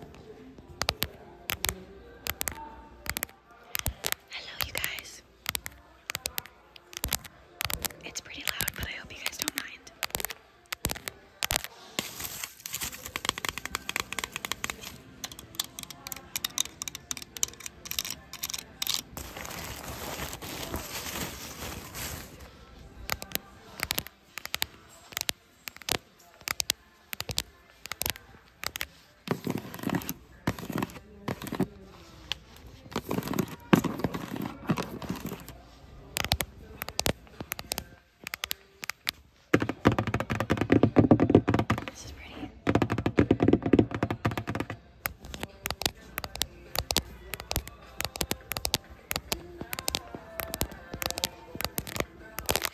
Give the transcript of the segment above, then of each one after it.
Hello, you guys. It's pretty loud, but I hope you guys don't mind. This is pretty.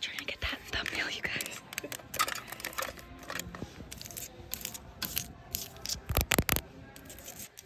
Trying to get that thumbnail, you guys.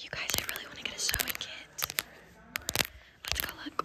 You guys, I really want to get a sewing kit. Let's go look.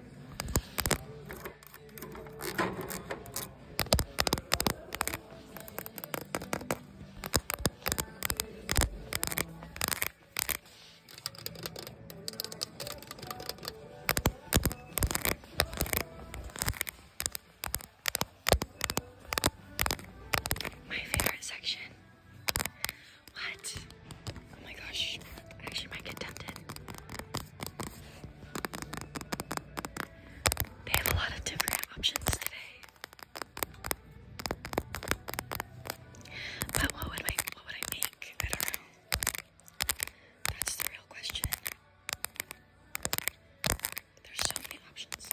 My favorite section what? Oh my gosh. actually might get tempted. They have a lot of different options today. But what would I what would I make? I don't know. That's the real question. There's so many options.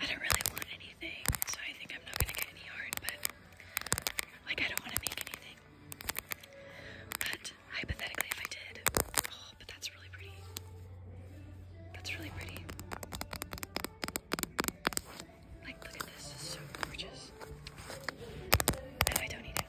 I don't really want anything, so I think I'm not gonna get any art, but like I don't wanna make anything. But hypothetically if I did, oh, but that's really pretty. That's really pretty. Like look at this, it's so gorgeous. No, I don't need it.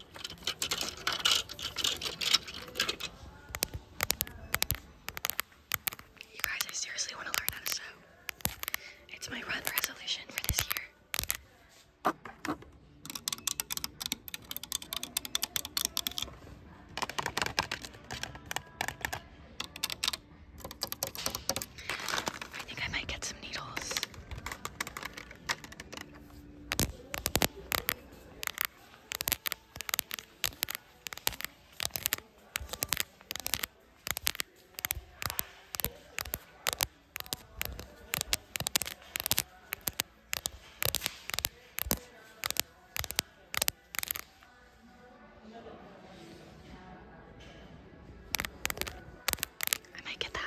You guys, I seriously want to learn how to sew. It's my run resolution for this year. I think I might get some needles. I might get that.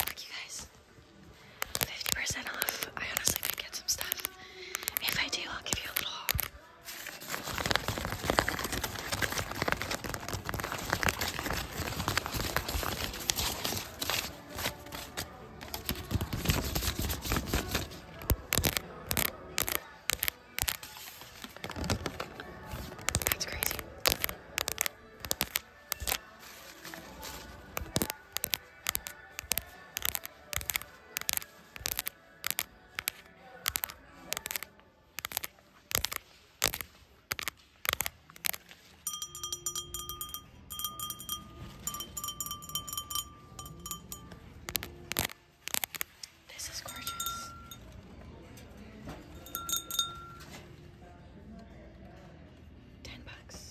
Look, you guys. 50% off. I honestly could get some stuff. If I do, I'll give you a little That's crazy. This is gorgeous. 10 bucks.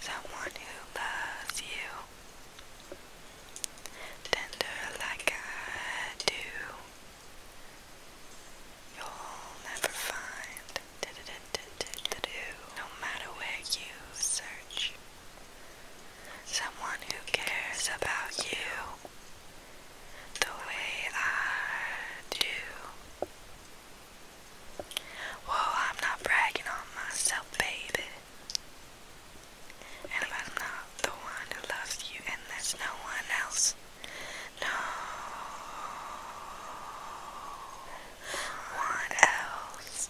Someone who loves you tender like I do. You'll never find no matter where you search. Someone who cares about you the way I do. Whoa, I'm not bragging on myself, baby. And if I'm not the one who loves you and there's no one else, no one else,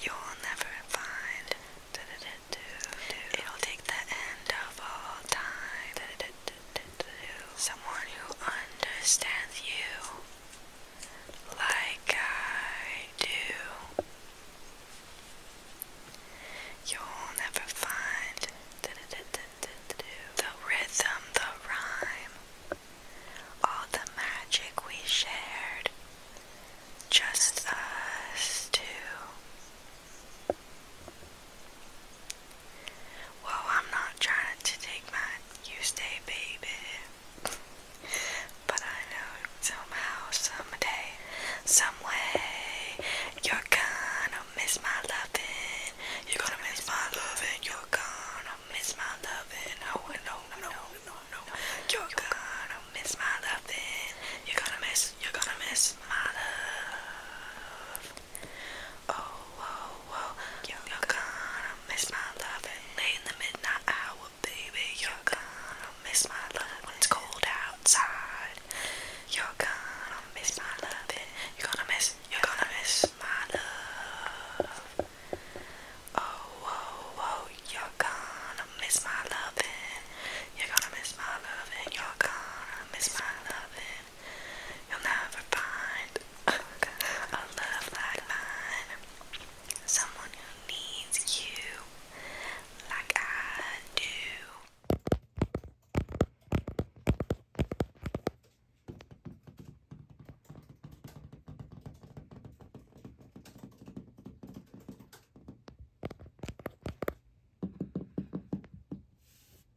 you'll never find. It'll take the end of all time. Someone who understands you like I do. You'll never find the rhythm, the rhyme, all the magic we shared, just us two. Well, I'm not trying to take mine. You stay, baby. but I know somehow, someday, someway, you're gonna miss my loving. You're gonna miss my loving. You're gonna miss my loving. Oh no, no, no, no, no. You're gonna miss my loving. You're gonna miss. You're gonna miss my love. Oh, whoa, whoa. You're, gonna miss my love late in the midnight hour, baby. You're gonna miss my love when it's cold outside. You're gonna miss my love. You're gonna miss, you're gonna miss my love. Oh, whoa, whoa. You're gonna miss my loving. You're gonna miss my loving. You're gonna miss my loving you'll never find a love like mine. Someone who needs you like I do.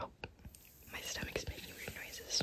Oh, my stomach is making weird noises.